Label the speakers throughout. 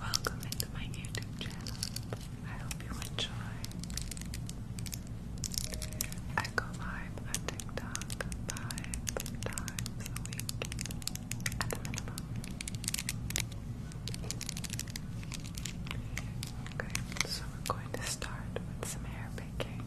Speaker 1: Welcome into my YouTube channel. I hope you enjoy. I go live on TikTok five times a week at the minimum. so we're going to start with some hair picking.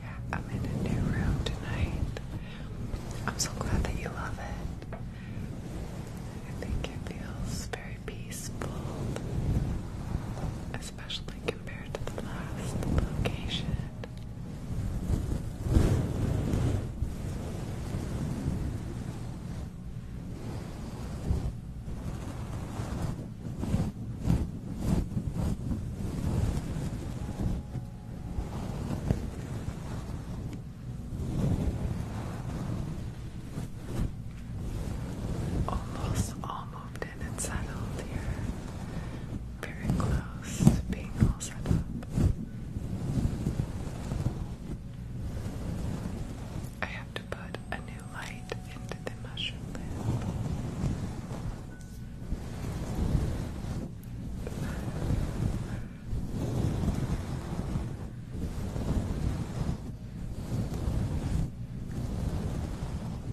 Speaker 1: Yeah, I'm in a new room tonight. I'm so glad that you love it. I think it feels very peaceful, especially compared to the last location. Almost all in and settled. you very close being all set up. I have to put a new light into the mushroom lamp.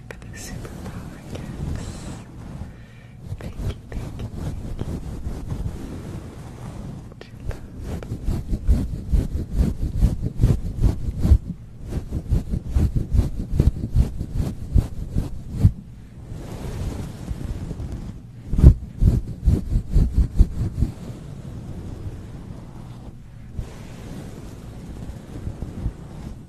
Speaker 1: you for the superpower gifts. Thank you, thank you, thank you.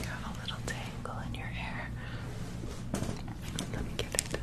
Speaker 1: Got a little tangle in your hair. Let me get it down.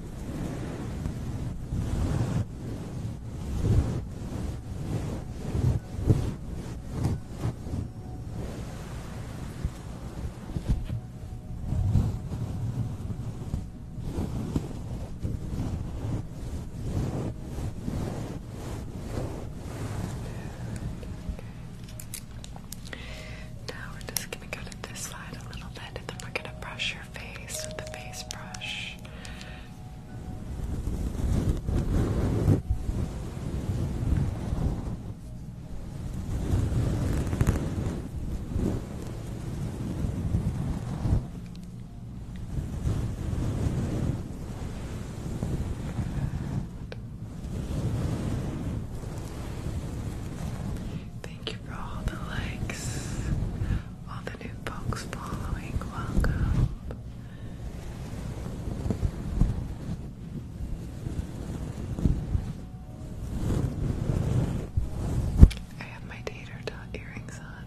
Speaker 1: Now we're just gonna go to this side a little bit, and then we're gonna brush your face with the face brush. Thank you for all the likes all the new folks following, welcome. I have my tater tot earrings on.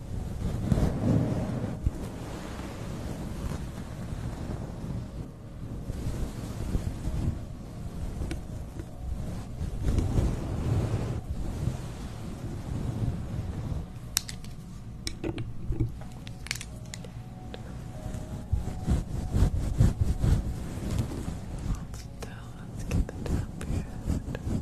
Speaker 1: Still, let's get the top here. Perfect.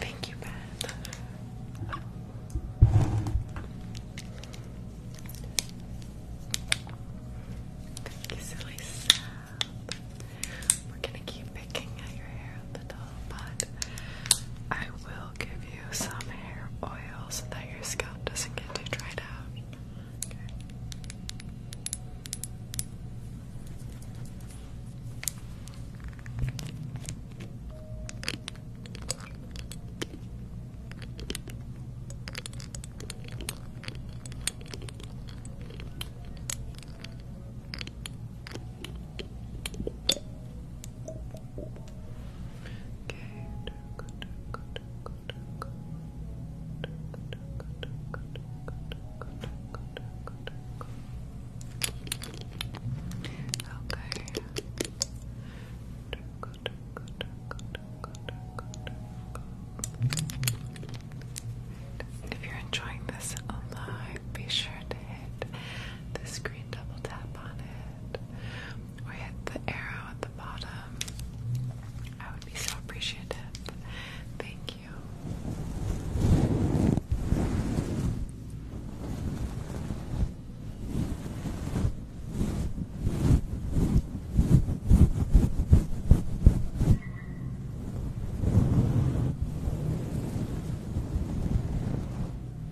Speaker 2: Thank you, Beth. Thank you, silly We're gonna keep picking at your hair on the top but I will give you some hair oil so that your scalp doesn't get too dried out. If you're enjoying this live, be sure to hit the screen double tap on it it hit the arrow at the bottom, I would be so appreciative. Thank you.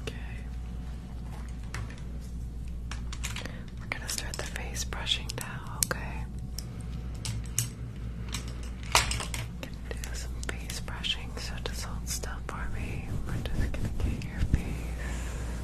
Speaker 2: Okay. We're going to start the face brushing now, okay? do some face brushing, so just hold stuff for me. We're just gonna get your face.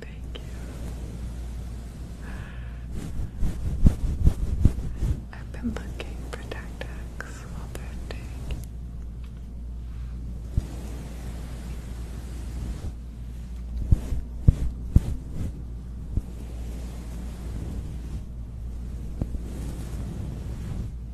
Speaker 2: Thank you.
Speaker 1: I've been looking for tactics all day.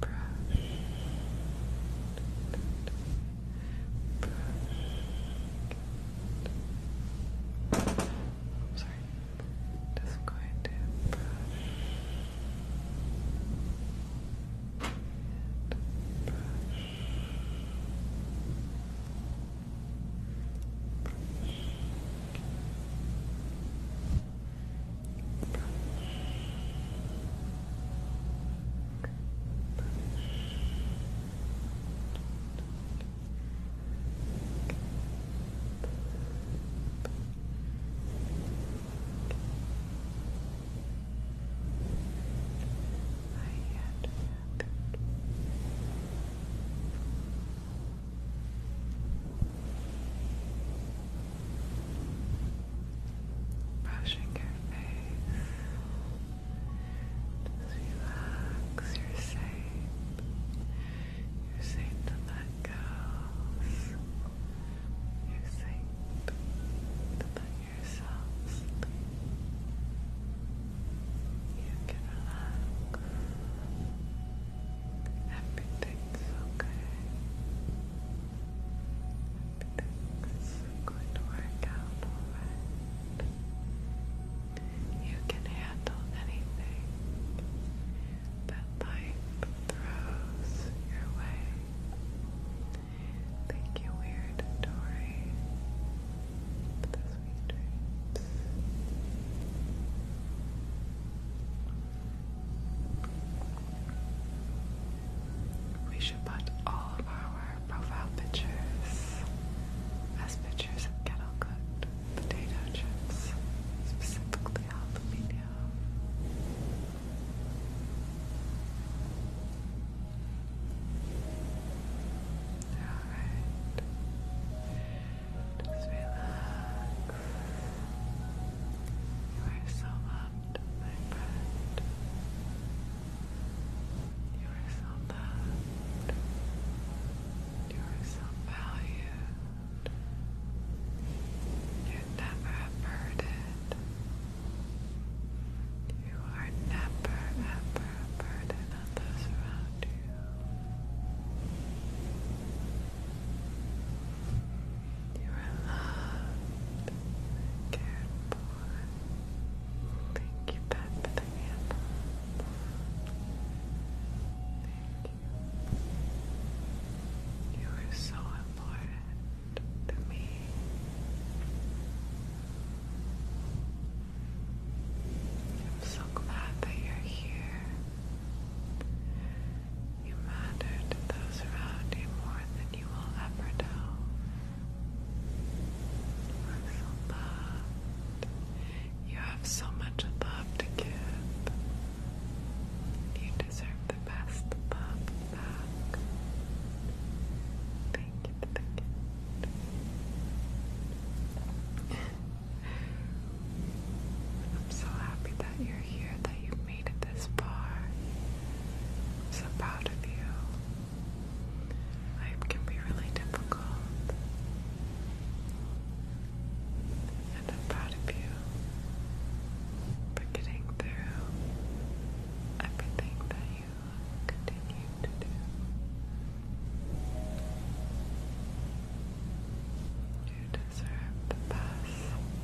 Speaker 1: Brush. Brush. I'm sorry. Just going to I had Good. Brushing your face. Just relax. You're safe. You're to let go. You're to let you can relax. Everything's okay. Everything's going to work out alright. You can handle anything that life throws your way. Thank you, Weird Dory, we should put all of our profile pictures as pictures of kettle cooked potato chips, specifically jalapeno. Alright. Just relax. You are so loved, my friend. You are so loved. You are so valued. You're never a burden. You are never ever a burden others around you. You are cared for. Thank you, Pat, for the candle. Thank you. You are so important to me. I'm so glad that you're here. You matter to those around you more than you will ever know. You're so loved. You have so much love to give. You deserve the best love back. Thank I'm so happy that you're here, that you made it this far. I'm so proud of you. Life can be really difficult. And I'm proud of you for getting through everything that you continue to do. You deserve the best.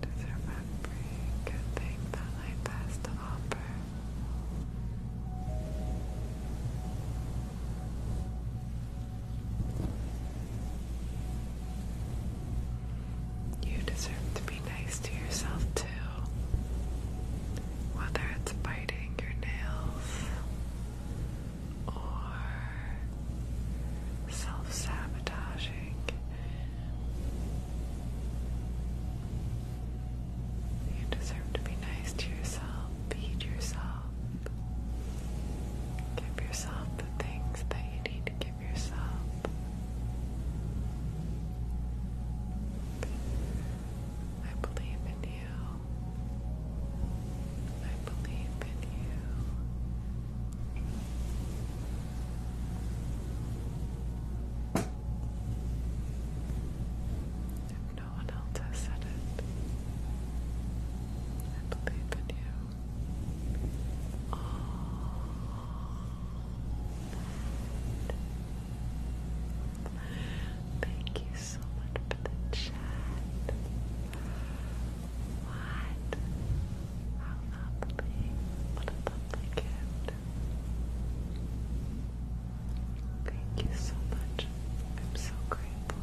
Speaker 1: deserve every good thing that life has to offer. You deserve to be nice to yourself too. Whether it's biting your nails or self sabotaging. You deserve to be nice to yourself, feed yourself, give yourself the things that you need to give yourself. I believe in you. I believe in you. no one else has said it, I believe in you. Oh, Thank you so much for the chat. What? How lovely. What a lovely gift. Thank you so much. I'm so grateful.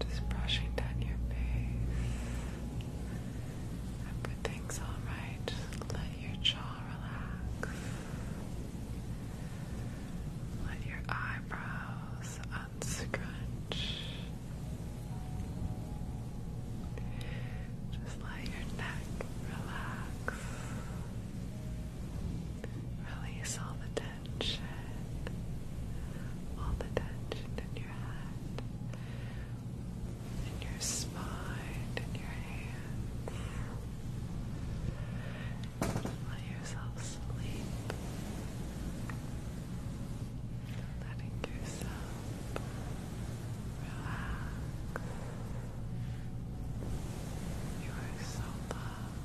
Speaker 1: Just brushing down your face. Everything's alright. let your jaw relax. Let your eyebrows unscrunch. Just let your neck relax. Release all the tension. All the tension in your head, in your spine, in your hands. let yourself sleep. Letting yourself Relax. You are so loved.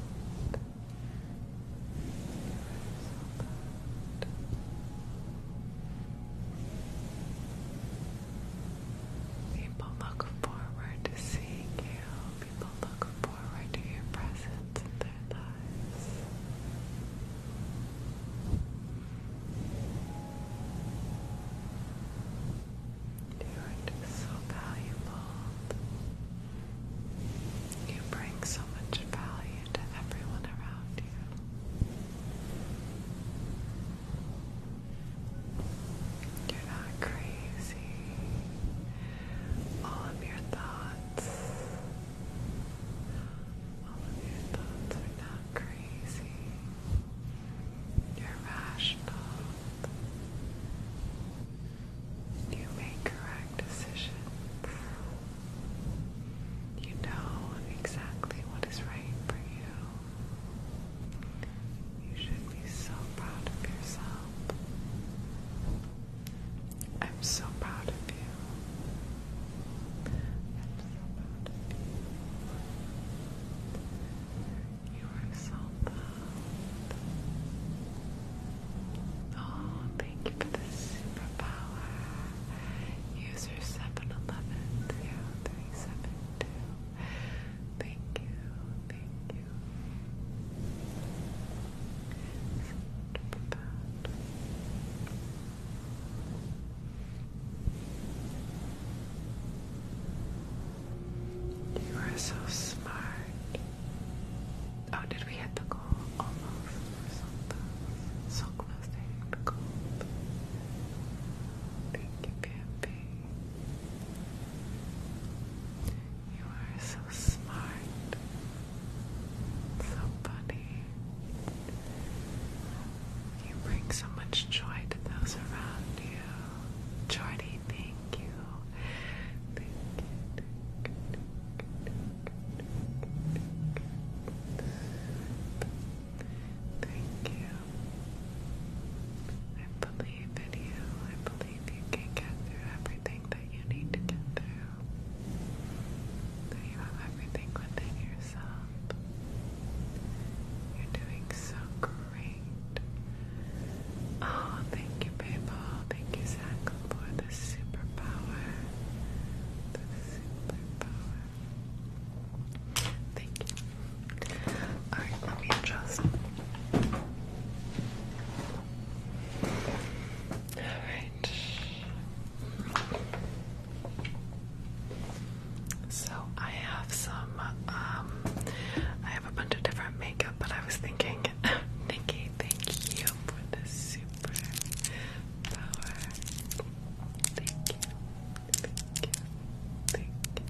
Speaker 1: People look forward to seeing you. People look forward to your presence in their lives. You you are so valuable. You bring so much value to everyone around you. You're not crazy. All of your thoughts, all of your thoughts are not crazy. You're rational. You make correct decisions. You know exactly what is right for you. You should be so proud of yourself. I'm so proud of you. I'm so proud of you. You are so Oh, thank you for the superpower. User 711037. Thank you, thank you. Superpower. You are so smart. Oh, did we hit Almost. so close. So close You are so smart. So funny. You bring so much joy to those around you. Jordy, thank you. Thank you. I believe in you. I believe you can get through everything that you need to get through. you have everything within yourself. You're doing so great. Oh, thank you, PayPal. Thank you, Zach, for the superpower. The superpower. Thank you. Alright, let me adjust. Alright. So I have
Speaker 2: some, um, I have a bunch of different makeup, but I was thinking, Nikki, thank you for the super power. Thank you, thank you, thank you, thank you.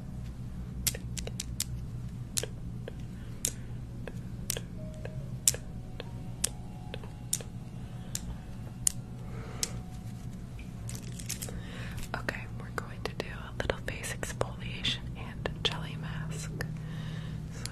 Speaker 1: Okay, we're going to do a little face exfoliation and jelly mask. So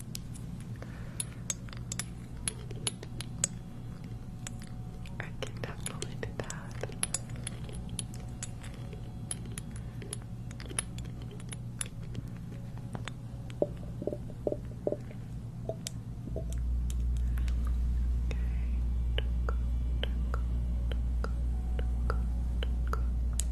Speaker 1: I can definitely do that. Okay.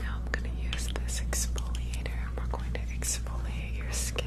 Speaker 1: Now I'm going to use this exfoliator and we're going to exfoliate your skin.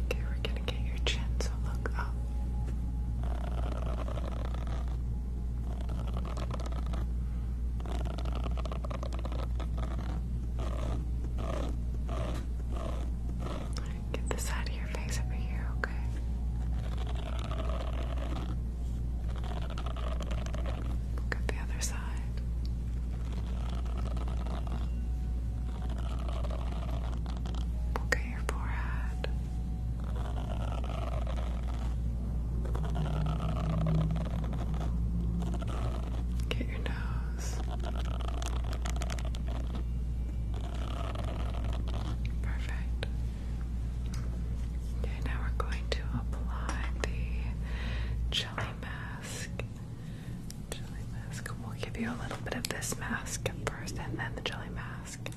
Speaker 1: Okay, we're gonna get your chin, so look up. Get the side of your face over here, okay? Look at the other side. Look at your forehead. Get your nose. Perfect. Okay, now we're going to apply the jelly mask. Jelly mask. We'll give you a little bit of this mask first and then the jelly mask.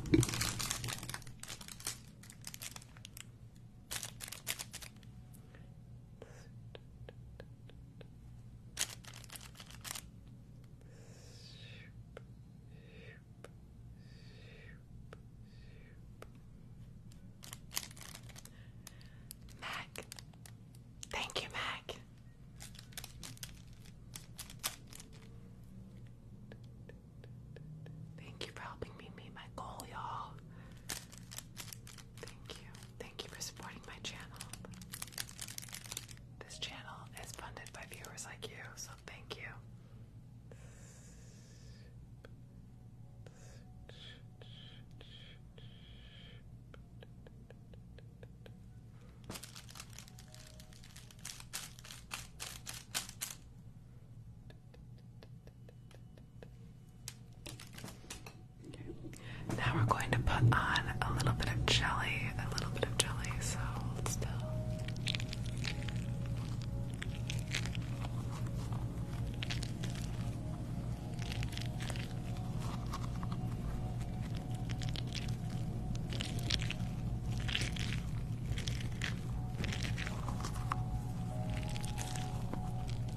Speaker 1: Mac, thank you, Mac. Thank you for helping me meet my goal, y'all. Thank you. Thank you for supporting my channel. This channel is funded by viewers like you, so thank you. Okay. Now we're going to put on a little bit of jelly, a little bit of jelly, so hold still.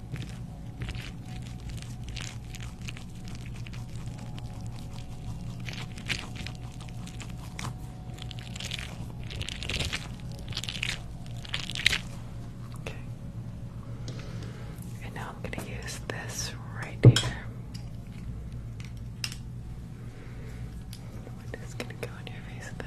Speaker 1: Okay. And now I'm going to use this right here. i going to go on your face a bit.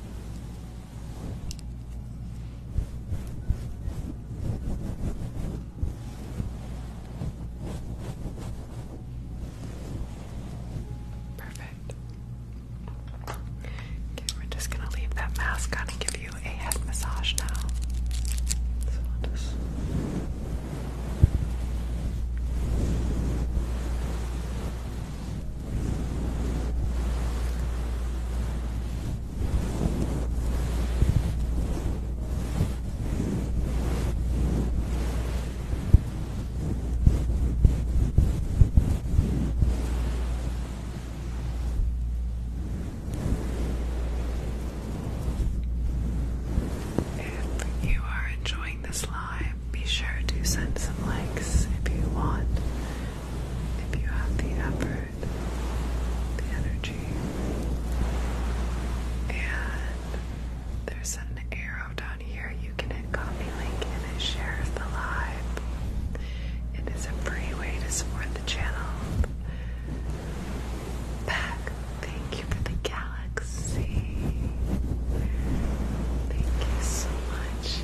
Speaker 1: Perfect. Okay, we're just gonna leave that mask on and give you a head massage now. If you are enjoying this live, be sure to send some likes if you want, if you have the effort, the energy. And there's an arrow down here. You can hit copy link and it the live. It is a free way to support the channel. Back, thank you for the galaxy. Thank you so much.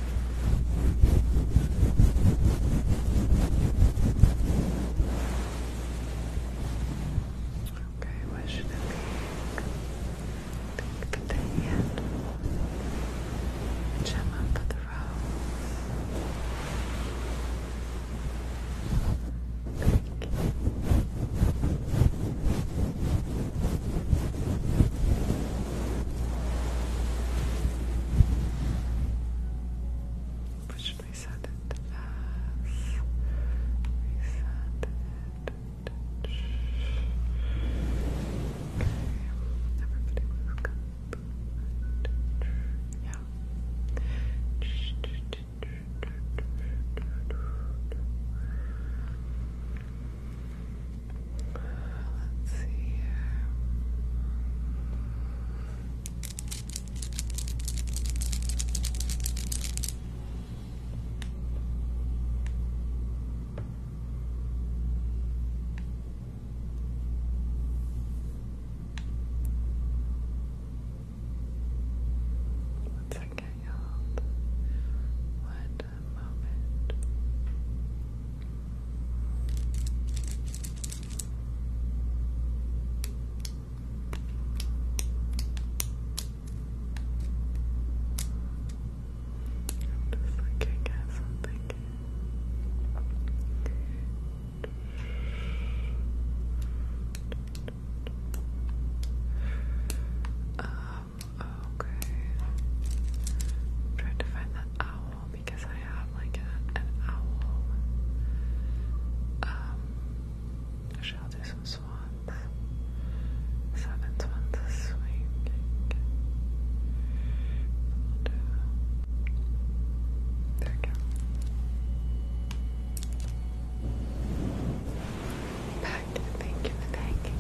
Speaker 1: Okay, what should I pick? Pick the hand. Gemma for the rose. Thank you. Push reset it as it. Okay. Yeah. Uh, let's see here. Let's get What the moment. I'm just looking at something. Um, okay. trying to find that owl because I have like an owl. Um, do some swans. Seven swans is swinging. We'll do. There we go. Pack, thank you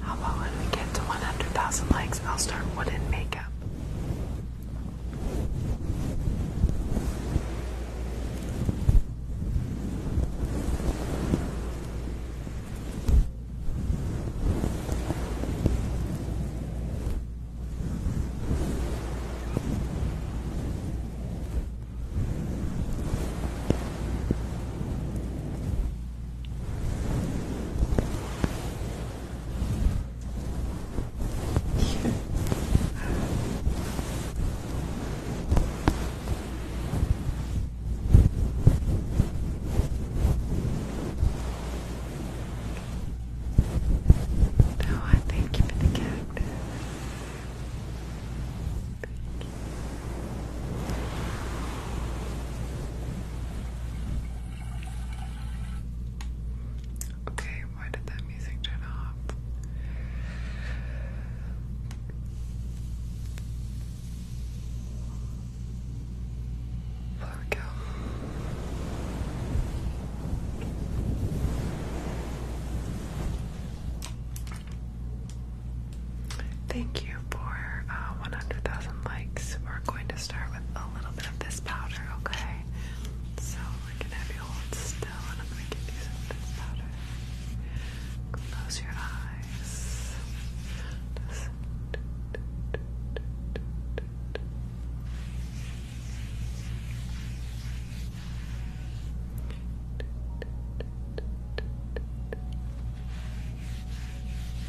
Speaker 1: How about when we get to 100,000 likes, I'll start wooden makeup? No, oh, I thank you for the cactus. Okay, why did that music turn off? There we go. Thank you for uh, 100,000 likes. We're going to start with a little bit of this powder, okay? So I can have you hold still and I'm gonna give you some of this powder. Close your eyes.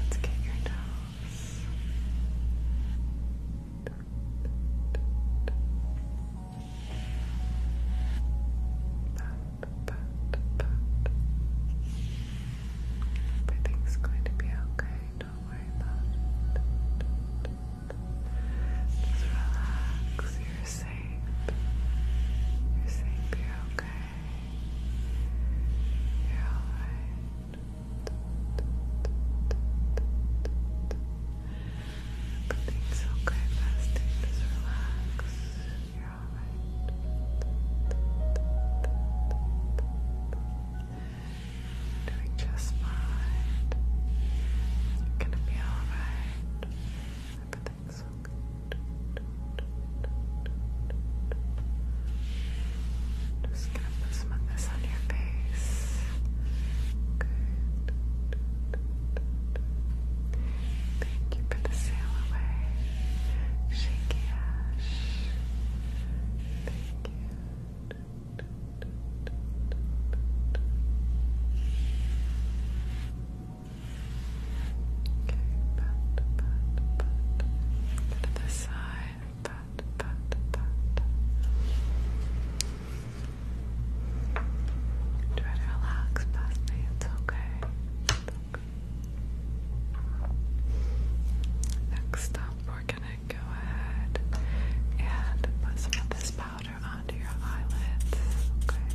Speaker 1: Let's get your toes. Pat, pat, pat. Everything's going to be okay. Don't worry about Just relax. you safe. You're safe, you're okay. You're alright. Everything's okay, Just relax. You're alright. Doing just fine. You're gonna be alright. Just gonna put some of this on your face. Good. Thank you for the sail away. Thank you. Okay, pat, pat, pat. To the side, pat, pat, pat. Try to relax, past It's okay. It's okay. Next up, we're gonna go ahead and put some of this powder onto your eyelids. Okay.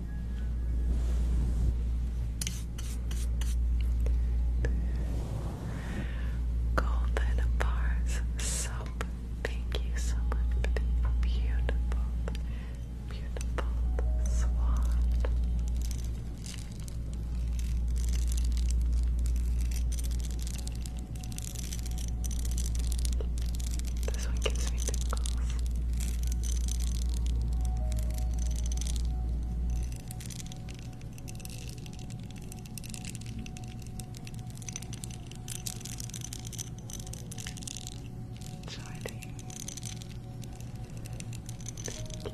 Speaker 1: Golden bars soap. Thank you so much for the beautiful, beautiful swan. This one gives me tingles. Shining. Thank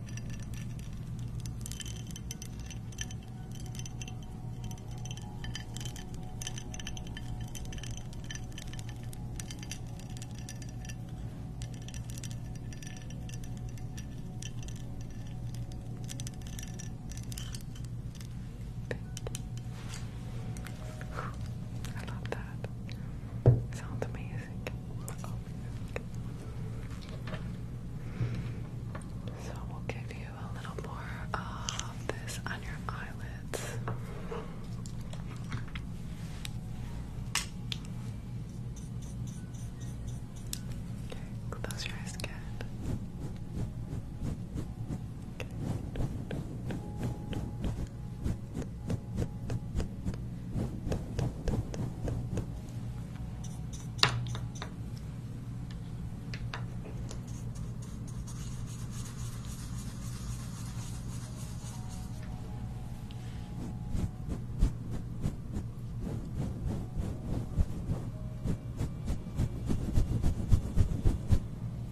Speaker 1: I love that. Sounds amazing so we'll give you a little more of this on your eyelids. Okay, close your eyes again.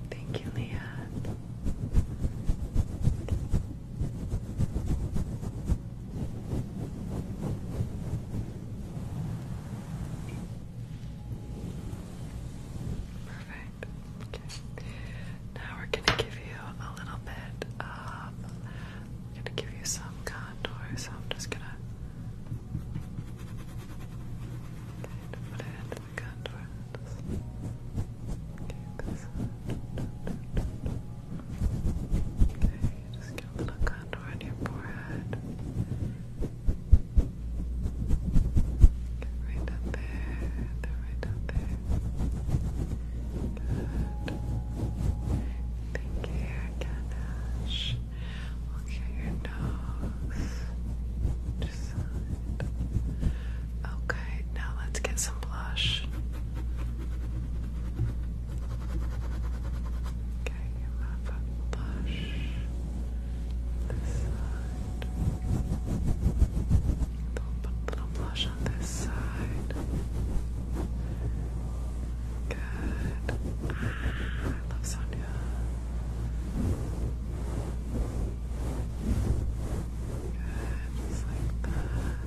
Speaker 1: Thank you, Leah. Perfect. Okay. Now we're gonna give you a little bit of gonna give you some contour, I'm just gonna put it into the contour. Okay, this. Okay, just get a little contour on your forehead. right up there, then right up there. Good. Thank you, Ganesh. Okay, your nose. Just Okay, now let's get some blush. Okay, you have blush this side. Don't put a little blush on this side. Good. I love Sonia. Good, just like that. Okay.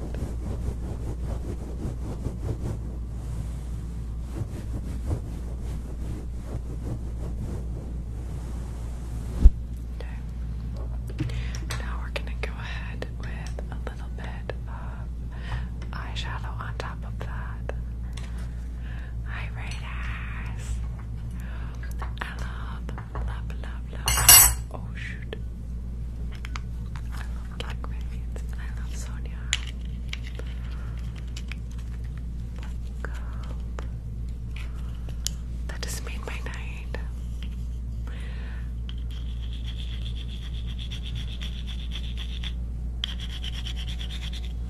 Speaker 1: Now we're gonna go ahead with a little bit of eyeshadow on top of that. Hi, I love, love, love, love. Oh shoot! Black Radiance, I love Sonia. Black Gold. made my night.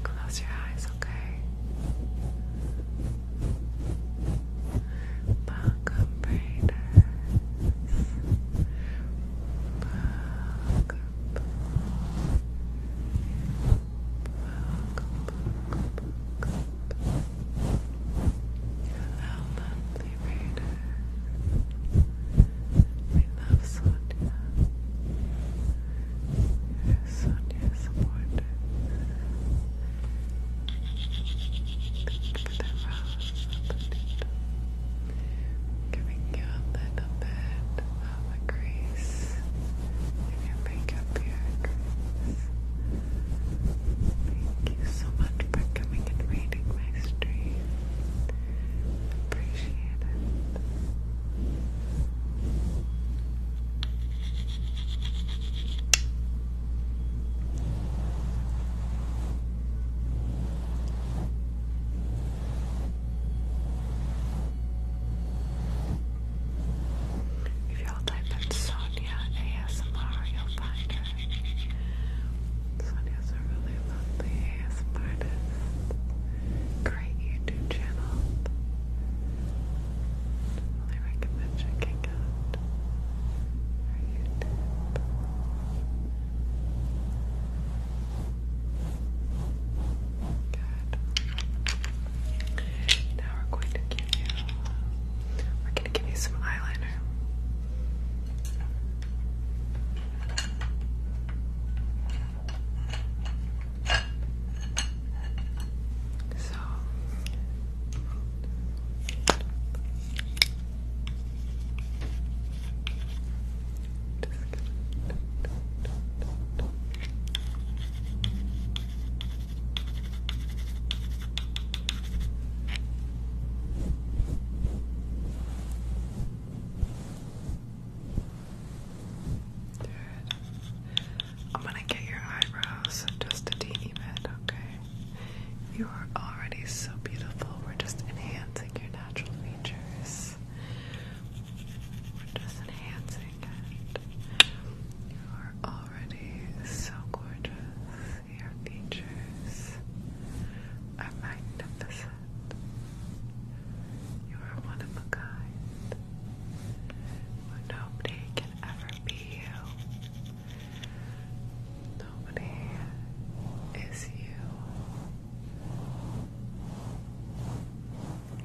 Speaker 1: Close your eyes, okay? Welcome, Brayden. Hello, lovely reader. We love Sonia. You're Sonia supporter. Thank you the rose. Giving you a little bit of a crease in your makeup here, Thank you so much for coming and reading my stream. Appreciate it. If y'all type in Sonia ASMR, you'll find her. Sonia's a really lovely ASMR Great YouTube channel. Really recommend checking out her YouTube. Good. Now we're going to give you we're gonna give you some eyeliner. So Good. I'm gonna get your eyebrows just a okay? You are already so beautiful. We're just enhancing your natural features. We're just enhancing it. You are already so gorgeous. Your features are magnificent. You are one of a Nobody can ever be you. Nobody is you.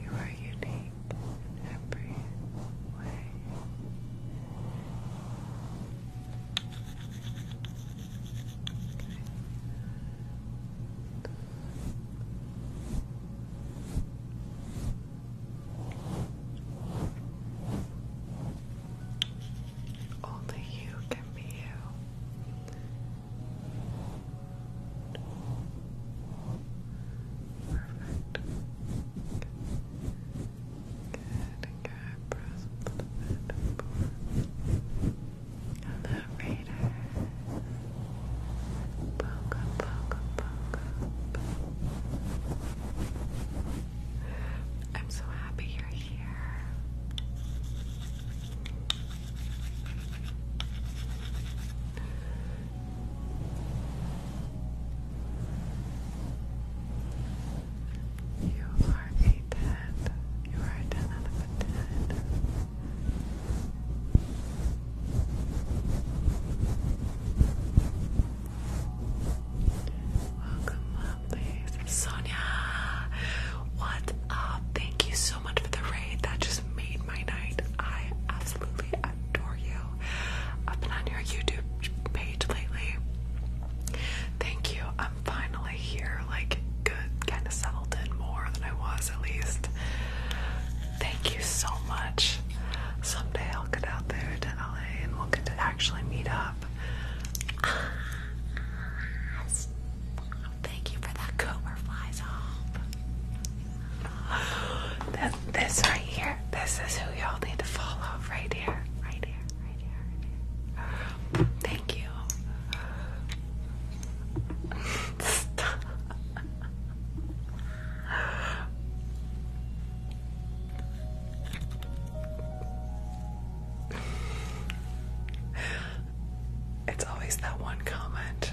Speaker 1: You are unique in every way. Only you can be you. Perfect. Good. Good. Press radar. Poke up, poke I'm so happy you're here. You are a 10. You are a 10 out Welcome, lovelies. Sonia! What up? Thank you so much for the raid. That just made my night. I absolutely adore you. I've been on your YouTube page lately. Thank you. I'm finally here. Like, good, kind of settled in more than I was at least. Thank you so much. Someday I'll get out there to LA and we'll get to actually meet up. Thank you for that Cooper flies off. This, right here, this is who y'all need to follow right here. Right here, right here, right here. Thank you. it's always that one comment,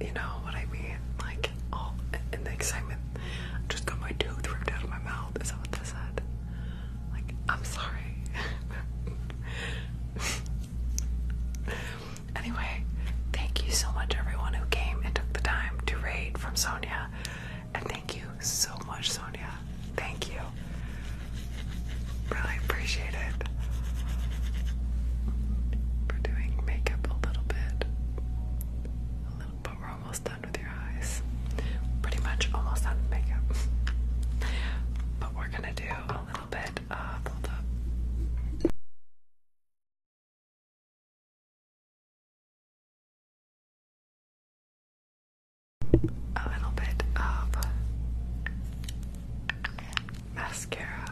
Speaker 1: you know what I mean? Like, all oh, in the excitement, I just got my tooth ripped out of my mouth. Is that what they said? Like, I'm sorry. anyway, thank you so much, everyone who came and took the time to raid from Sonia. And thank you so much, Sonia. Thank you really appreciate it for doing makeup a little bit. A little, but we're almost done with your eyes. Pretty much almost done with makeup. But
Speaker 2: we're gonna do a little bit of hold A little bit of mascara.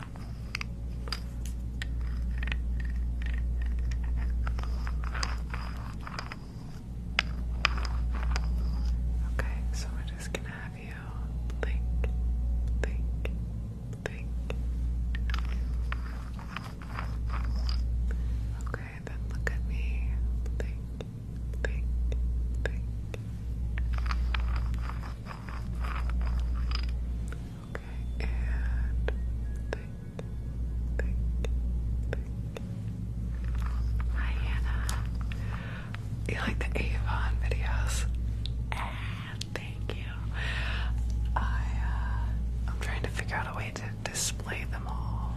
Speaker 2: Okay, so we're just gonna
Speaker 1: have you blink, blink, blink. Okay, then look at me. Blink, think, think. Okay, and think, think, think. Hi, Hannah. You like the Avon videos? Ah, thank you. I, I'm trying to figure out a way to display them all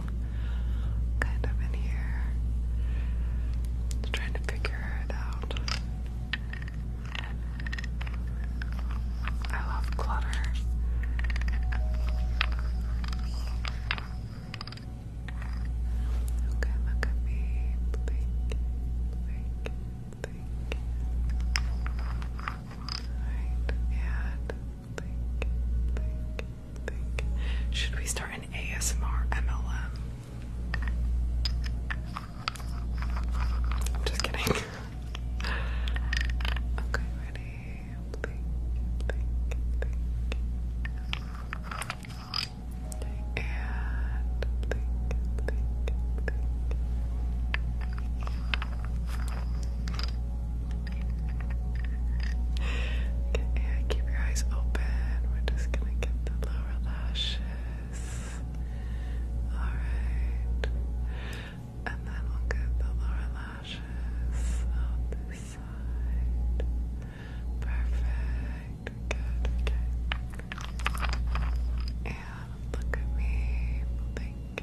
Speaker 1: kind of in here. i trying to figure I love clutter. Okay, look at me. Blink, blink, blink. Alright, and blink, blink, Should we start an ASMR MLM? I'm just kidding. okay, ready? Blink, blink, blink. And blink, blink,
Speaker 2: blink. Okay, keep your eyes open. We're just gonna get the lower lashes. Yes. Alright. And then we'll get the lower lashes out this side. Perfect. Good. Okay. And look at me. Blink.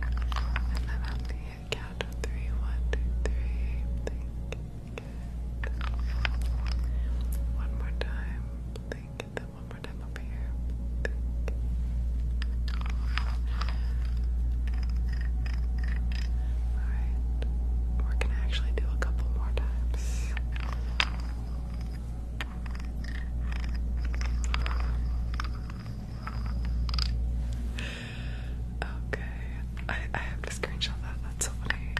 Speaker 2: And then on the count of three, one, two, three, blink. Good. One more time. Blink. And then one more time over here.
Speaker 1: Alright. We're actually do a couple more times. Okay, I, I have to screenshot that. That's so funny.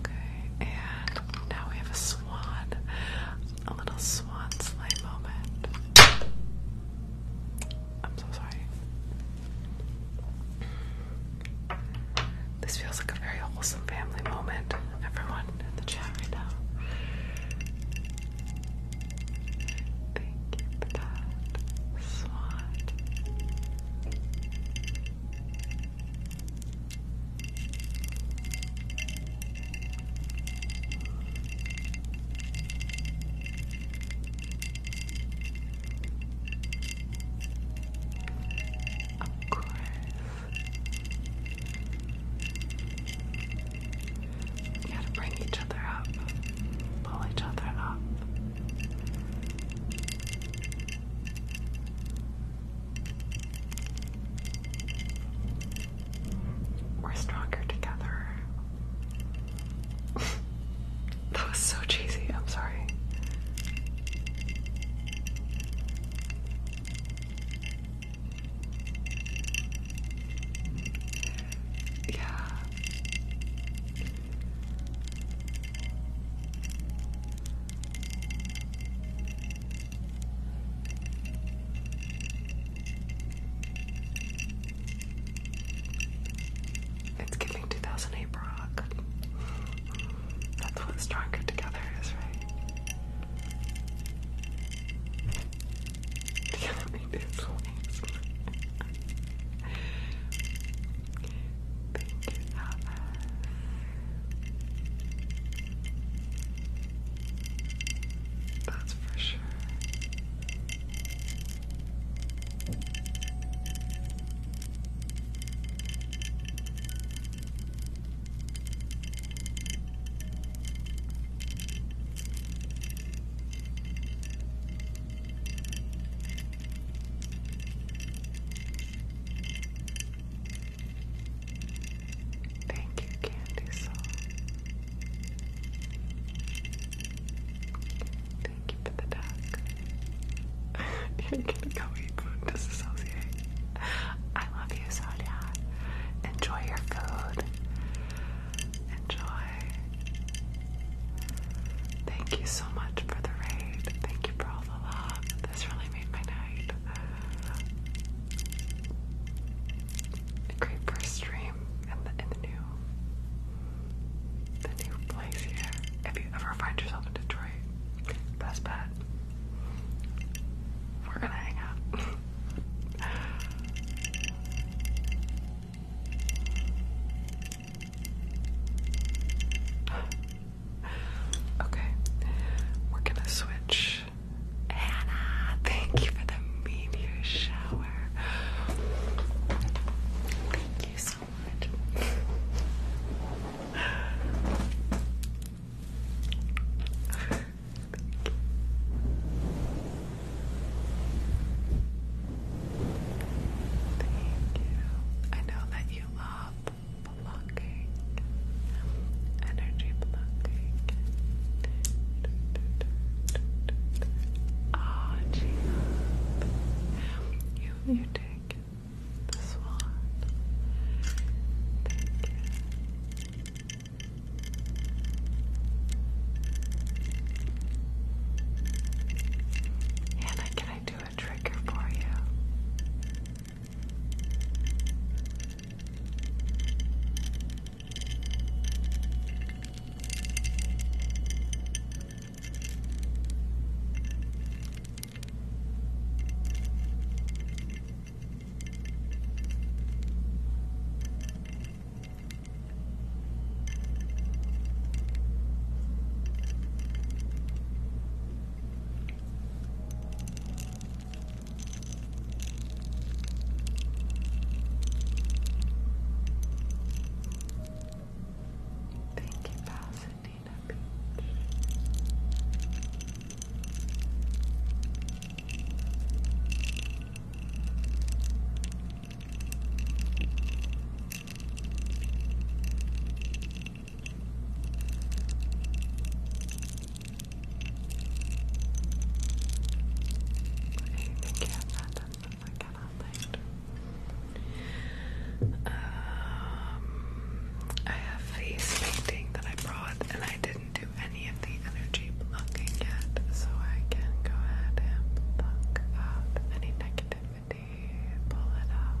Speaker 1: Okay, and now we have a swan, a little swan sleigh moment. I'm so sorry. This feels like a very wholesome family moment. Everyone in the chat right now. Thank you for that, Swan. Of course. You gotta bring each other up, pull each other up. We're stronger together. that was so cheesy, I'm sorry. Yeah. It's giving 2008 rock. That's what Stronger Together is, right? The enemy is Pinky Alice. That's for Thank you, Candy Thank you for the duck. You're gonna go eat food disassociate. I love you, Sonia. Enjoy your food. Enjoy. Thank you so much for the raid. Thank you for this really made my night. A great first stream in the new the new place here. If you ever find yourself in Detroit, best bet. We're gonna hang out. okay, we're gonna switch. Hannah, thank you for the meteor shower. Thank you so much. Thank you. I know that you love stop energy blocking. Ah, oh, you you take This one, take can I do a trigger for you. Thank you, Pasadena Beach. Thank Anything you have doesn't look at all Um, I have face painting that I brought and I didn't do any of the energy blocking yet, so I can go ahead and block out any negativity, pull it out.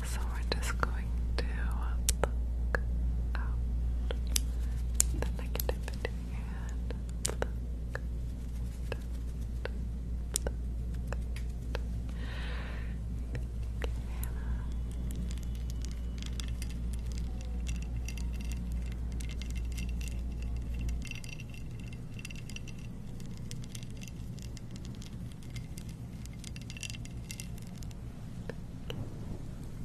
Speaker 1: So we're just going to pluck out the negativity and pluck, Thank you.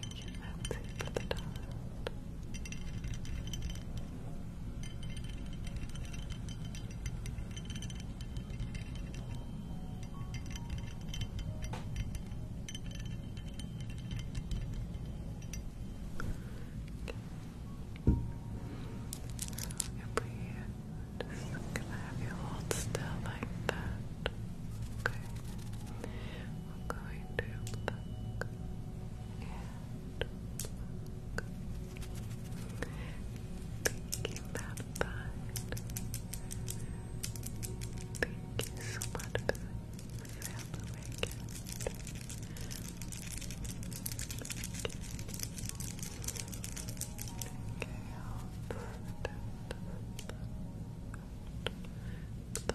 Speaker 1: Thank you, Nancy, for the dot. Okay. So if we just gonna have you hold still like that. Okay. I'm going to pluck and pluck. Thinking Thank you so much for the sample Okay, I'll put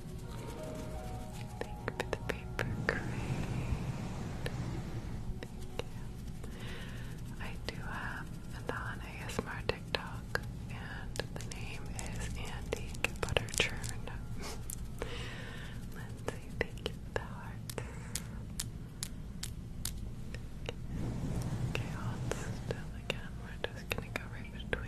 Speaker 1: Thank you for the paper crane. Thank you. I do have the ASMR TikTok, and the name is Antique Butter Churn. Lindsay, thank you for the heart. Okay, still again. We're just gonna go right between.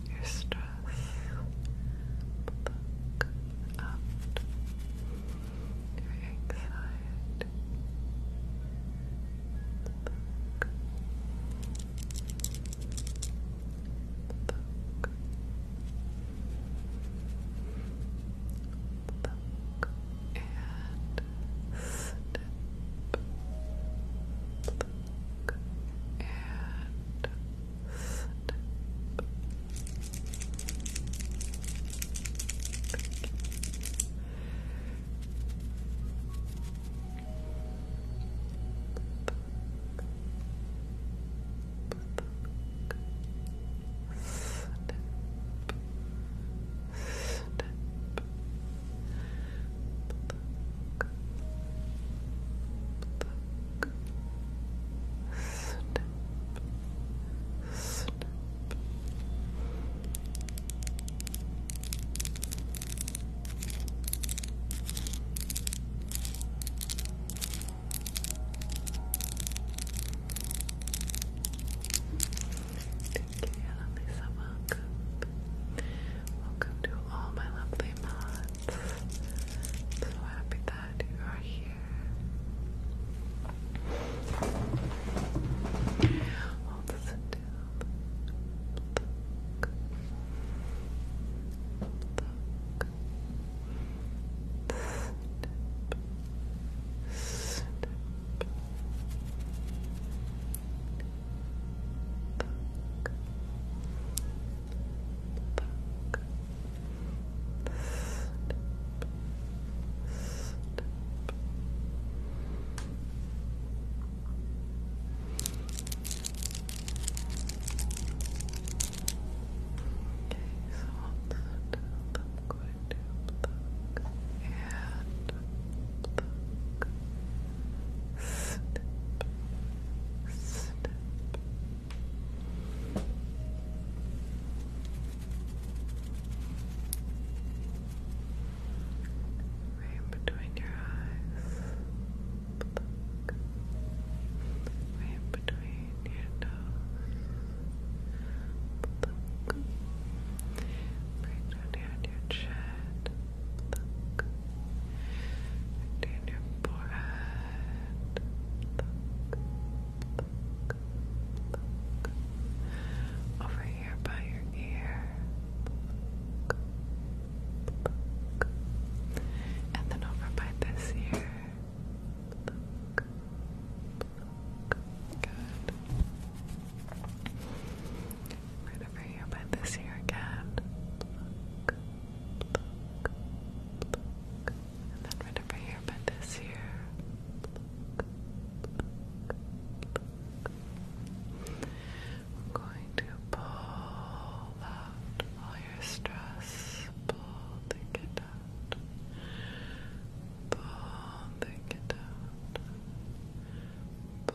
Speaker 1: out your stress. your anxiety. And snip and step. Step, step, step, Thank you, Annalisa. Welcome. Welcome to all my lovely lovely So happy that you are here. Book. Book. Step. Step. Okay, so I'll do pluck, do pluck, and pluck, pluck, snip, snip. Right between your eyes, pluck. Right between your nose, pluck. Right down your chin, Look. Down your forehead. Over here by your ear. And then over by this ear. Good. Right over here by this ear again and then right over here by this here I'm going to pull out all your stress pull, take it out pull, take it out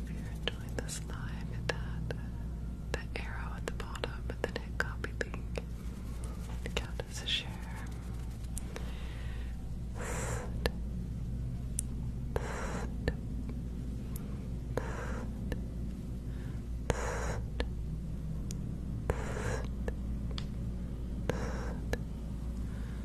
Speaker 1: If you're enjoying this live, hit that, that arrow at the bottom and then hit copy link. Count as a share.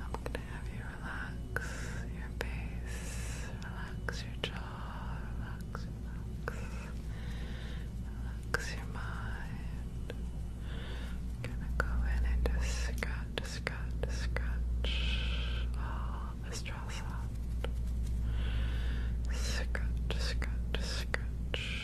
Speaker 1: I'm gonna have you relax your face, relax your jaw, relax, relax, relax your mind. gonna go in and just scratch, scratch, scratch all the stress out. Scratch, scratch, scratch.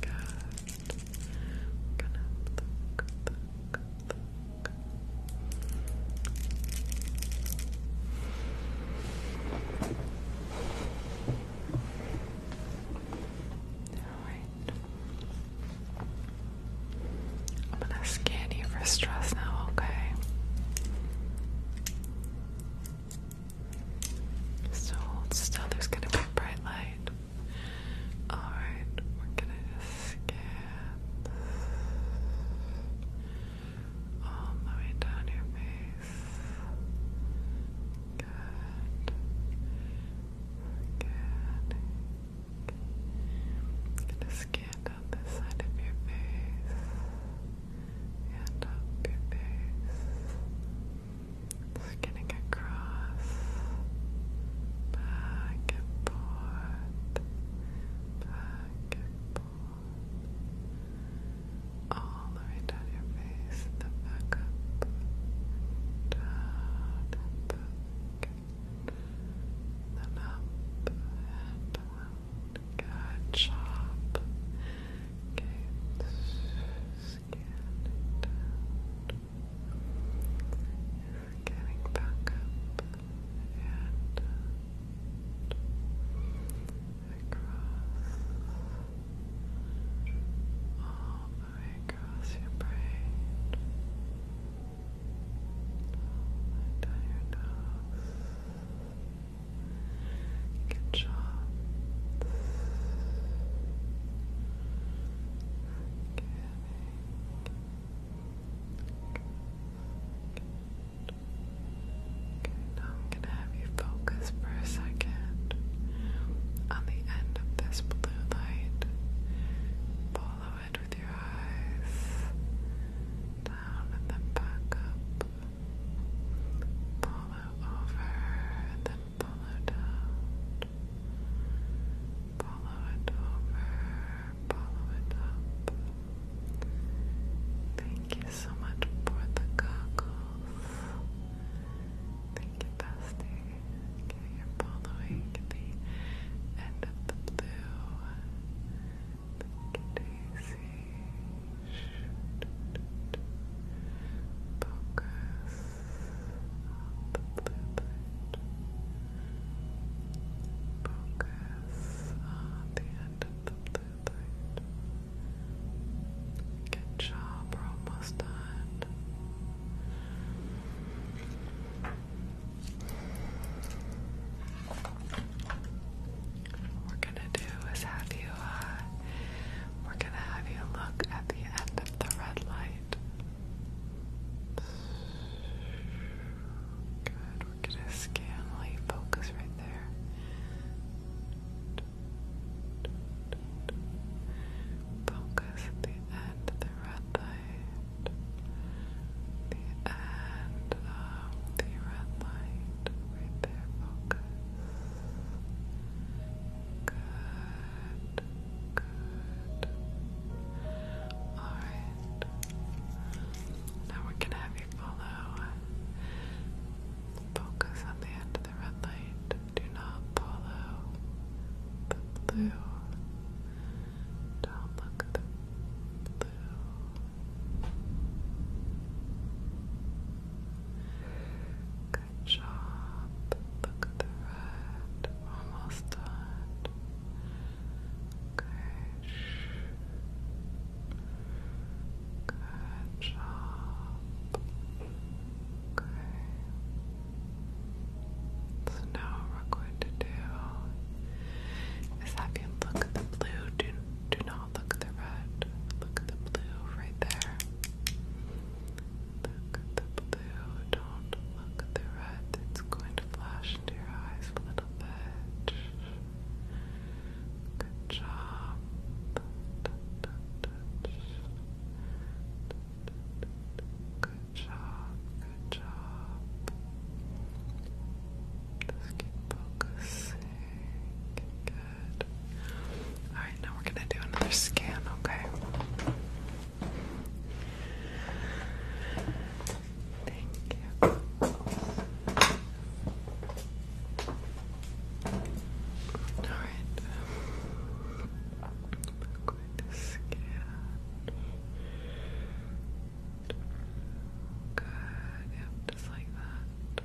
Speaker 1: Good.
Speaker 2: All right. I'm gonna scan you for stress now, okay?
Speaker 1: So still, there's gonna be a bright light. Alright, we're gonna scan all the way down your face. Good. Good. gonna scan down this side of your face and up your face, skinning across, back and forth, back and forth, all the way down your face, The back up, down and back, then up and around, good job. Okay, getting back up and across all the way across your brain. Down your nose, Good job. Good. Good. Now I'm gonna have you focus for a second on the end of this blue light. Follow it with your eyes down and then back up Follow over, then follow down. Follow it over, follow it up. Thank you so much for the goggles. Thank you, Bestie. Okay, you're following the end of the blue. Thank you, Daisy. Focus on the blue light. Focus on the end of the blue light. Good job, almost done gonna do is have you, uh, we're gonna have you look at the end of the red light. Good, we're gonna scanly focus right there. Focus the end of the red light. The end of the red light. Right there, focus. Good. Good. Alright. Now we're gonna have you follow. Focus on the end of the red light. Do not follow the blue. Don't look at the blue. Good job. Look at the red. Almost done. Good. Good job. Okay. So now we're going to do is have you look at the blue. Do, do not look at the red. Look at the blue right there. Look at the blue, don't look at the red. It's going to flash into your eyes a little bit. Good job. Good job, good job. Just keep focusing. Alright, now we're gonna do another scan, okay? Thank you. Alright. we scan. Good, yep, just like that.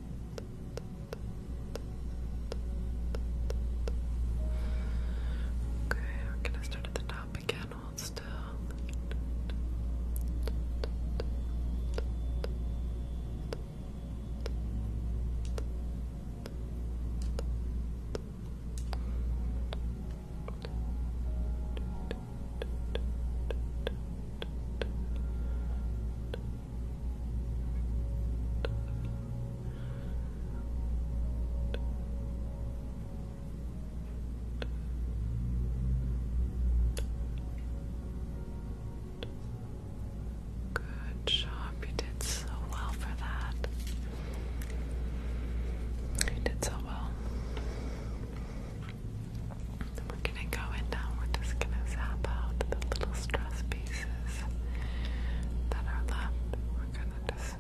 Speaker 1: Okay, we're gonna start at the top again. Hold still. Good job, you did so well for that. You did so well we're gonna go in now, we're just gonna zap out the little stress pieces that are left. We're gonna just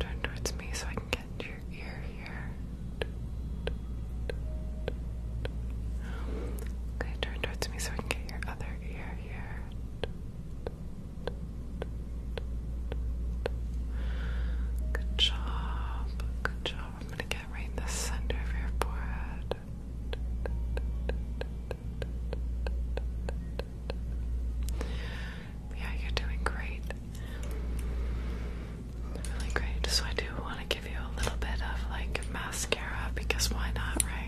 Speaker 2: Turn towards me so I can get to your ear here. Okay, turn towards me so I can get your other ear here. Good job, good job. I'm gonna get right in the center of your forehead.
Speaker 1: Yeah, you're doing great. Really great. So I do want to give you a little bit of like mascara because why not, right?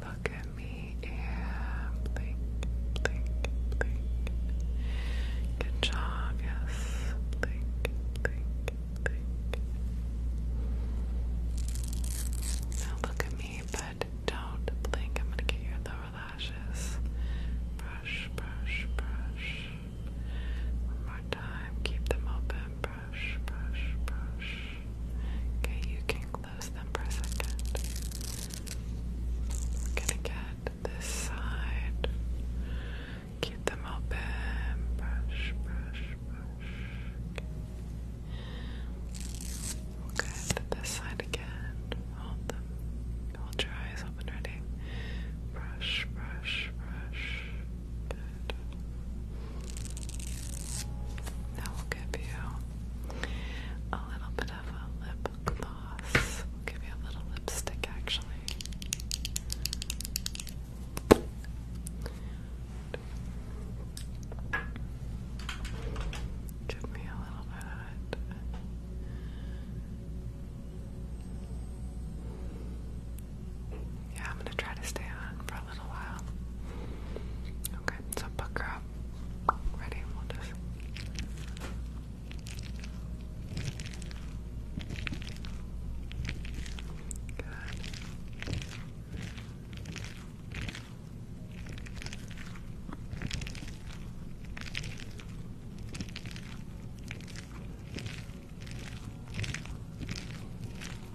Speaker 1: Look at me and blink, blink, blink. Good job, yes. Blink, blink, blink. Now look at me, but don't blink. I'm gonna get your lower lashes. Brush, brush, brush. One more time. Keep them open. Brush brush, brush, brush. Okay, you can close them for a second. I'm gonna get this side. Keep them open. Brush, brush, brush. Okay. We'll get this side again. Hold them. Hold your eyes open, ready? Brush, brush, brush. Good. That will give you a little bit of a lip gloss. give you a little lipstick actually. Give me a little bit of it. Yeah, I'm gonna try to stay on for a little while. Okay, so pucker up. Ready? We'll just. Good.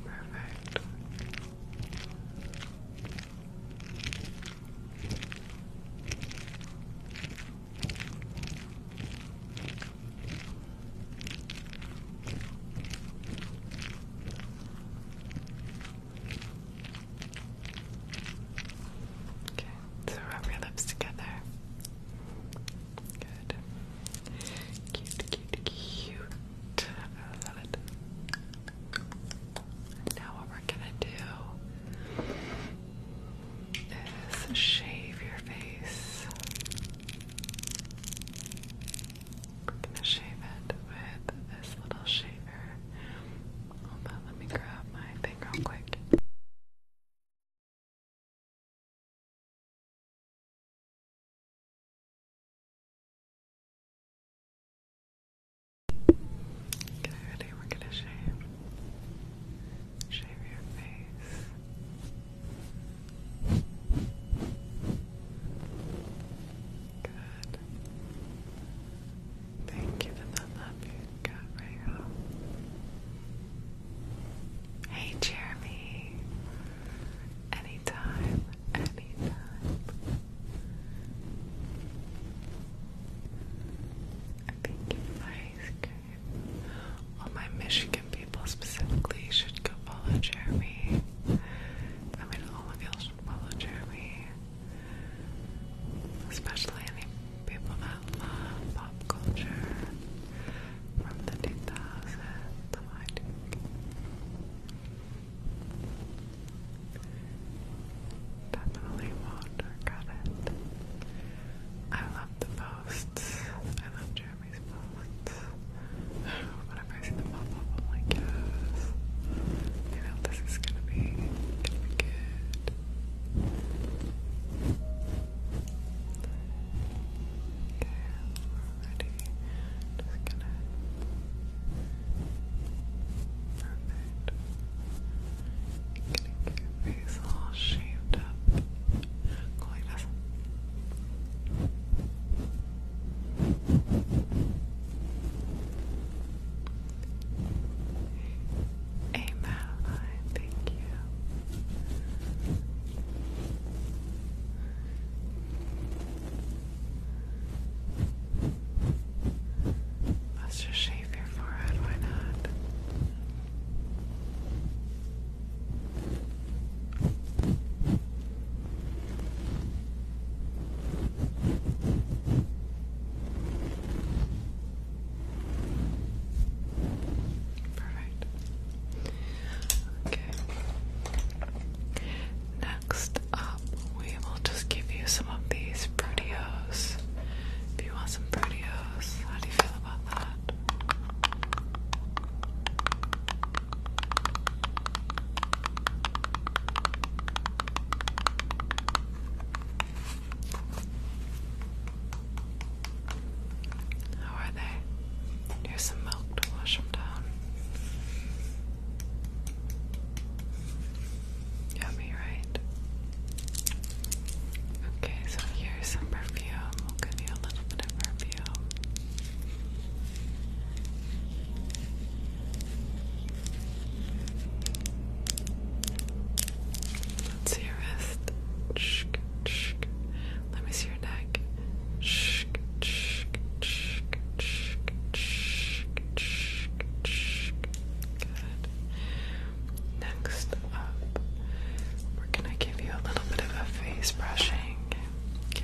Speaker 1: Perfect. Okay, so rub your lips together. Good. Cute, cute, cute. I love it now what we're gonna do is shave your face. We're gonna shave it with this little shaver. Hold on, let me grab my thing quick. Okay, We're gonna shave. Shave your face. Good. Thank you for the love you got, Rachel. Hey, Jeremy. Anytime anytime. I think my skirt. All my Michigan people specifically should go follow Jeremy. I mean, all of you should follow Jeremy. Especially any people that love pop culture from the 2000s. I do. Definitely won't regret it. I love the posts. I love Jeremy's posts. Whenever I see them pop up, I'm like, this is gonna be good. Okay, already. Just gonna. Perfect. Getting your face all shaved up. Go like thank you. Let's just shave your forehead, why not? Perfect. Okay. Next, up, we will just give you some of these proteos. If you want some proteos, how do you feel about that? How are they? Here's some milk to wash them down. Yummy, right? Okay, so here's some perfume. We'll give you a little bit of perfume. Let's see your wrist. Shk, shk. Let me see your neck. Shk, shk, shk, shk, shk. Next up, we're gonna give you a little bit of a face brushing. Okay.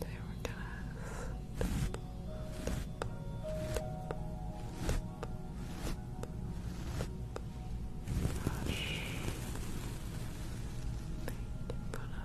Speaker 1: They were cast. Gosh. Put up.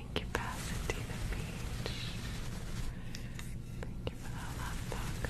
Speaker 1: Thank you, Pasadena Beach. Thank you for that love talk.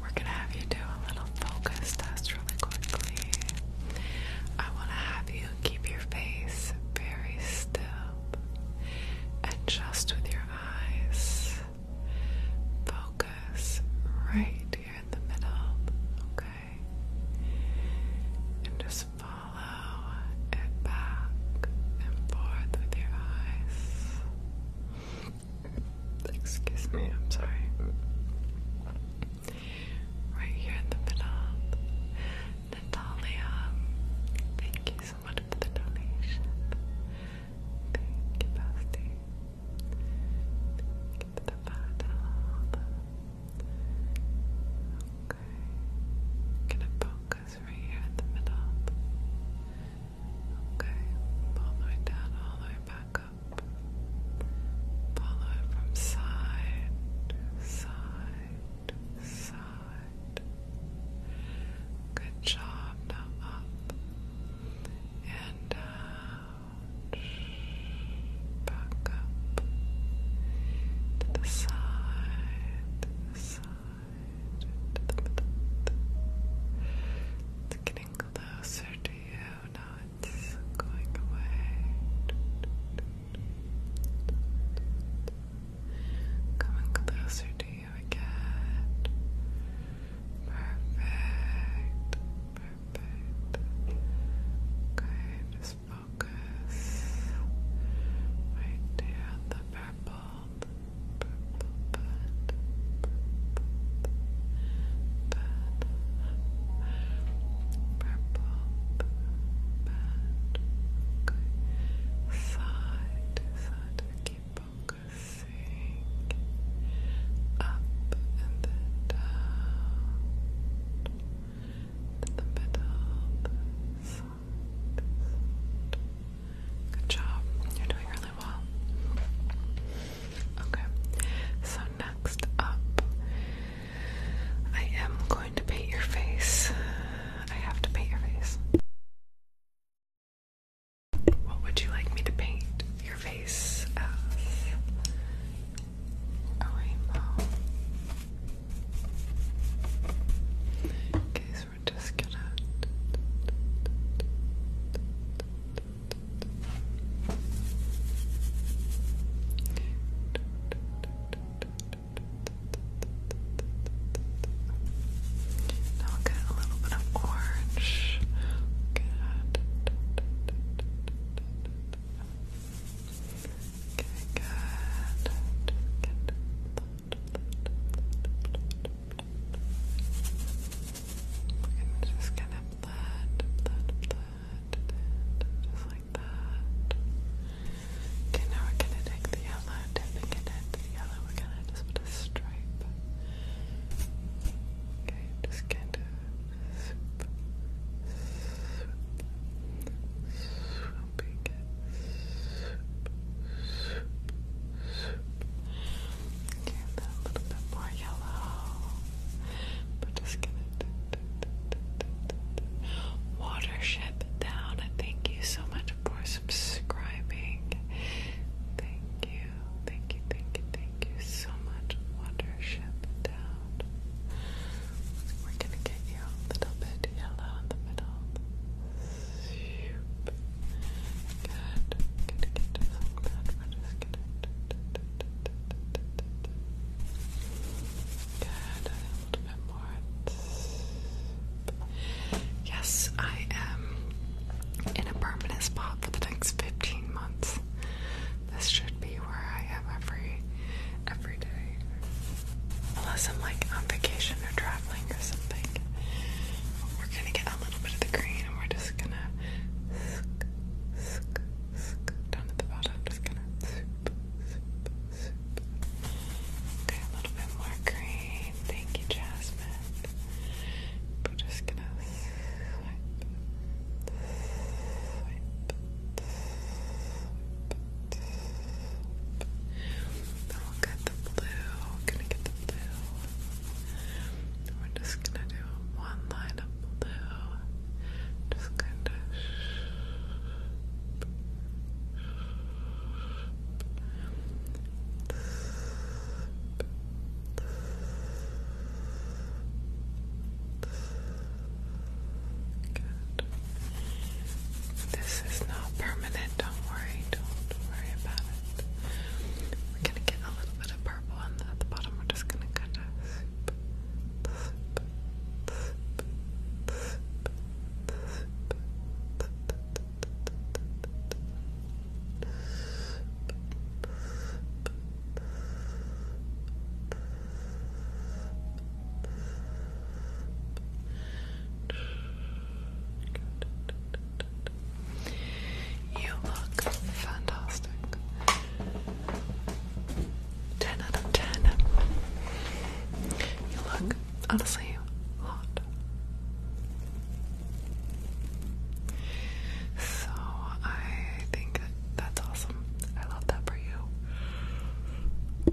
Speaker 1: We're gonna have you do a little focus test really quickly. I wanna have you keep your face very still and just with your eyes focus right here in the middle, okay? And just follow it back and forth with your eyes. Excuse me, I'm sorry. Right here in the middle. Natalia, thank you so much for the donation. Thank you, Basti. Thank you for the Okay. gonna focus right here in the middle. Okay. All the down, all the way back up. Follow from side to side to side. Good job. Now up and out. Back up to the side, to the side, to the middle. It's getting closer you not going away? Coming closer to you again. Perfect. Perfect. Okay, just focus right there The purple okay. side to keep focusing up and then down to the middle, Good job, you're doing really well. Okay, so next up, I am going to paint your face. I have to paint your face. What would you like me to paint your face as? A rainbow. Okay, so we're just gonna. Now we'll get a little bit of orange. Good. good. good. just gonna that, that, that, just like that. Okay, now we're gonna take the yellow, dipping it into the yellow, we're gonna just put a stripe. Okay, just kind of swoop, swoop, swooping swoop, swoop, swoop a little bit more yellow. we just gonna watership down. Thank you so much for subscribing. Thank you, thank you, thank you, thank you so much. Watership down. We're gonna get you a little bit yellow in the middle. Shoop. Good. Good, good. So glad we're just gonna. Good, a little bit more. Yes, I am in a permanent spot for the next 15 months. This should be where I am every every day. Unless I'm like on vacation or traveling or something. We're gonna get a little bit of the green and we're just gonna down at the bottom. Just gonna Okay, a little bit more green. Thank you, Jasmine. We're just gonna we'll get the blue. gonna get the blue. we're just gonna do one line of blue. Just kind of This is not permanent, don't worry, don't worry about it. We're gonna get a little bit of purple at the bottom, we're just gonna cut you look fantastic. 10 out of 10. You look honestly hot. So I think that's awesome. I love that for you.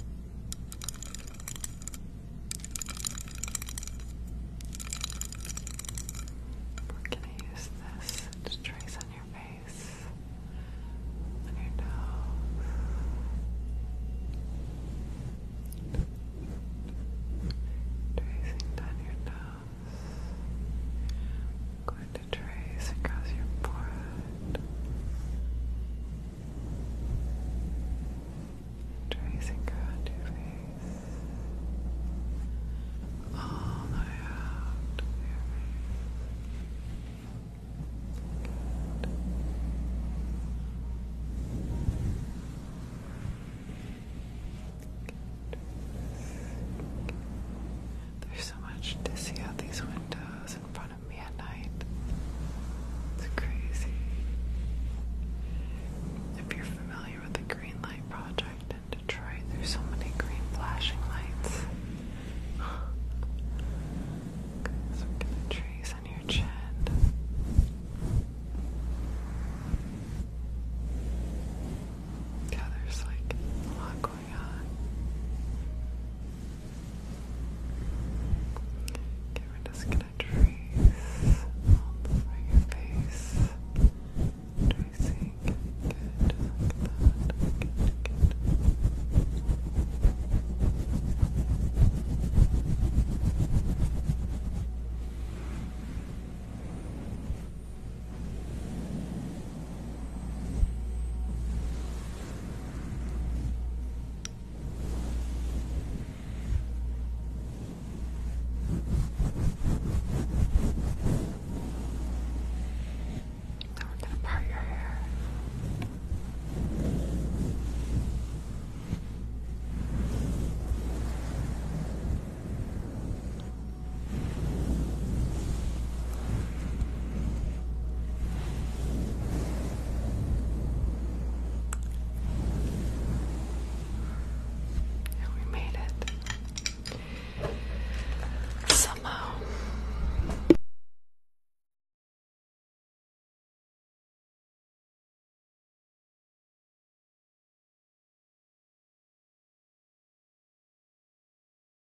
Speaker 1: We're going to use this to trace on your face, on your nose. Tracing down your nose. Going to across your forehead. Tracing around your face. All the way out of your face. There's so much to see out these windows in front of at night. It's crazy. If you're familiar with the Green Light Project in Detroit, there's so many green flashing lights. Let's the trees on your chin. Yeah, there's like a lot going on. Okay, we gonna trace all over your face. Tracing. Good, just Good, good. Now we're gonna part your hair. And we made it somehow.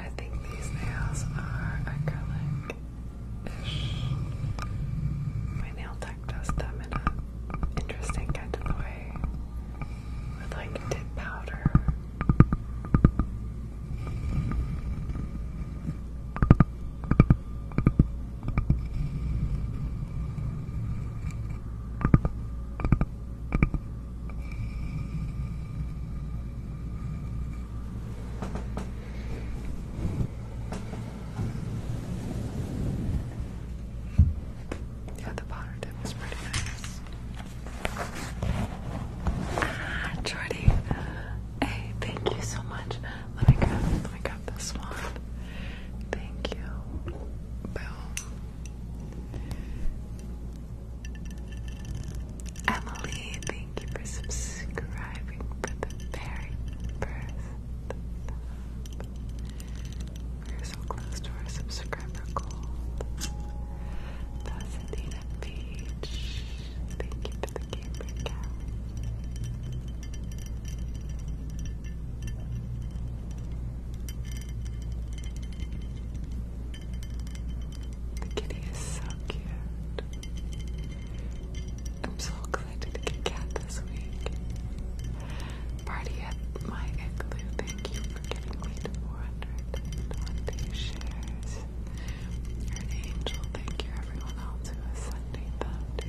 Speaker 1: I think these nails are acrylic. My nail tech does them in an interesting kind of way with like tip powder. Yeah, the powder tip is pretty nice. Ah, Jordy. Uh, hey, thank you so much. Let me grab, let me grab this one. Thank you. Boom. Emily, thank you for
Speaker 2: subscribing for the very first. We're so close to our subscriber goal. Pasadena Beach, thank you for the gamer cat. The kitty is so cute. I'm so glad to get cat this week. Party at my igloo. Thank you for getting me to 420 shares. Your angel. Thank you, everyone else who is sending them to.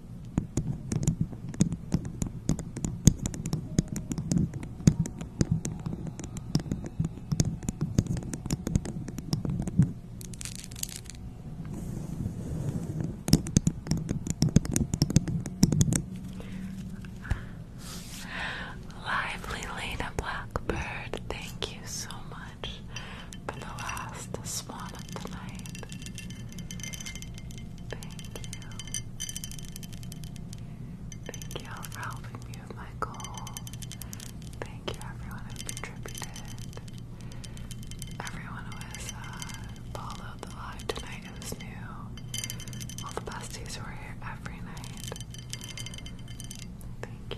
Speaker 1: Lively Lena Blackbird, thank you so much for the last swan of Thank you. Thank you all for helping me with my goal. Thank you everyone who contributed. Everyone who has uh, followed the live tonight who's new. All the besties who are here every night. Thank you.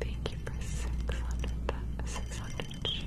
Speaker 1: Thank you for 600, 600 shares.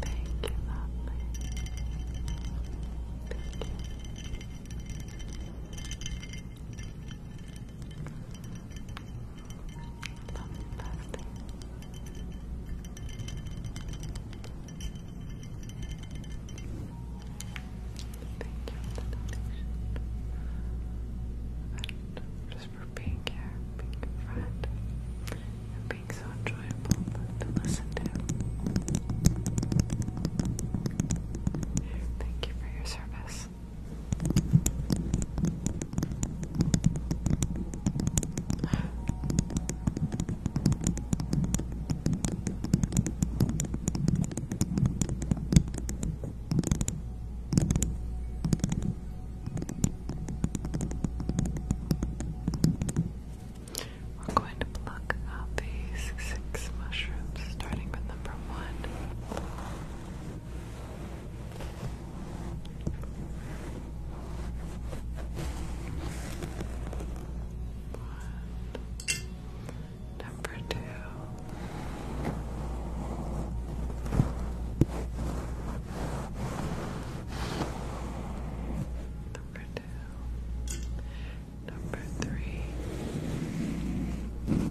Speaker 1: thank you, lovely. Thank you. Lovely birthday. Thank you for the donation. And just for being here, being a friend, so enjoyable to listen to. Thank you for your service. We're going to pluck out these six mushrooms, starting with number one. One. Number two. Number two. Number three. Number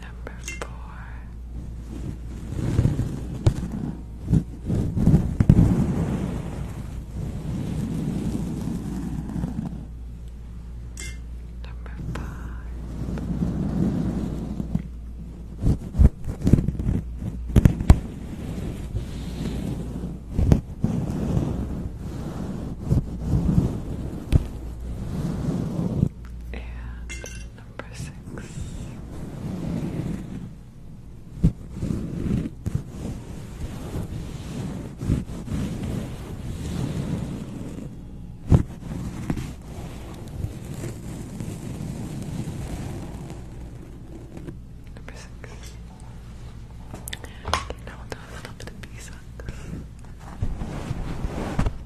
Speaker 1: Number four. Number five. And number six. Number six. Okay, now we'll do a little bit of beeswax.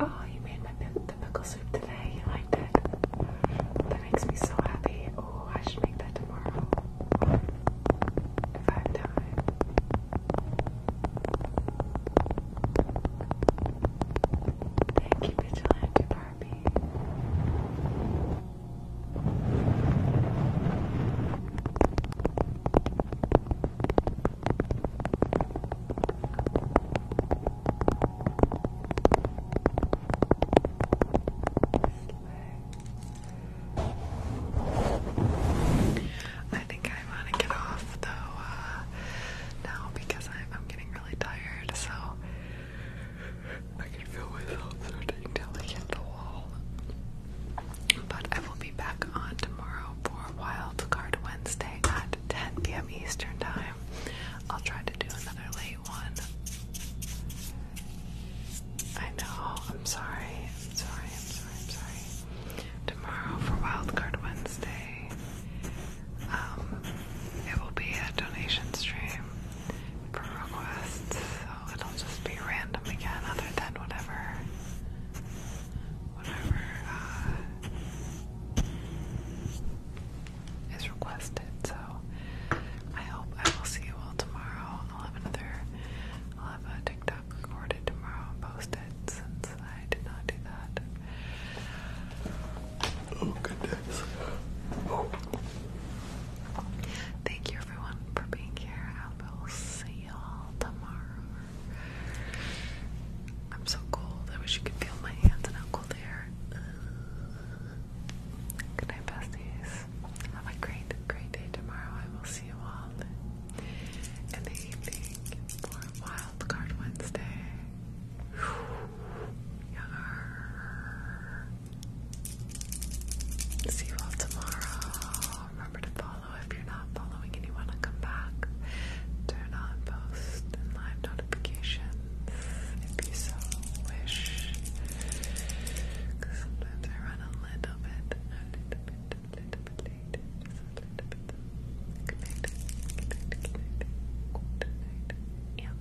Speaker 1: Oh, made my pi soup today. You liked it. That makes me so happy. Oh, I should make that tomorrow if I have time. Thank you, Vigilante Barbie. I think I want to get off though uh, now because I'm getting really tired. So I can feel myself starting to hit the wall. But I will be back on tomorrow for Wild Wednesday at 10 p.m. Eastern Time. I'll try to do another late one. I know, I'm sorry, I'm sorry, I'm sorry, I'm sorry. Tomorrow for Wild Card Wednesday, um, it will be a donation stream for requests, so it'll just be random again, other than whatever, whatever uh, is requested. So I hope I will see you all tomorrow. I'll have another, I'll have a TikTok recorded tomorrow and posted since I did not do that. Oh goodness. Thank you everyone for being here. I will see y'all tomorrow. I'm so cold. I wish you could feel my hands and how cold they are. Good night, besties. Have a great, great day tomorrow. I will see you all
Speaker 2: in the evening for Wild Card Wednesday. Yarr. See you all tomorrow. Remember to follow if you're not following and you want to come back. Turn on post and live notifications if you so wish. sometimes I run a little bit, a Yeah.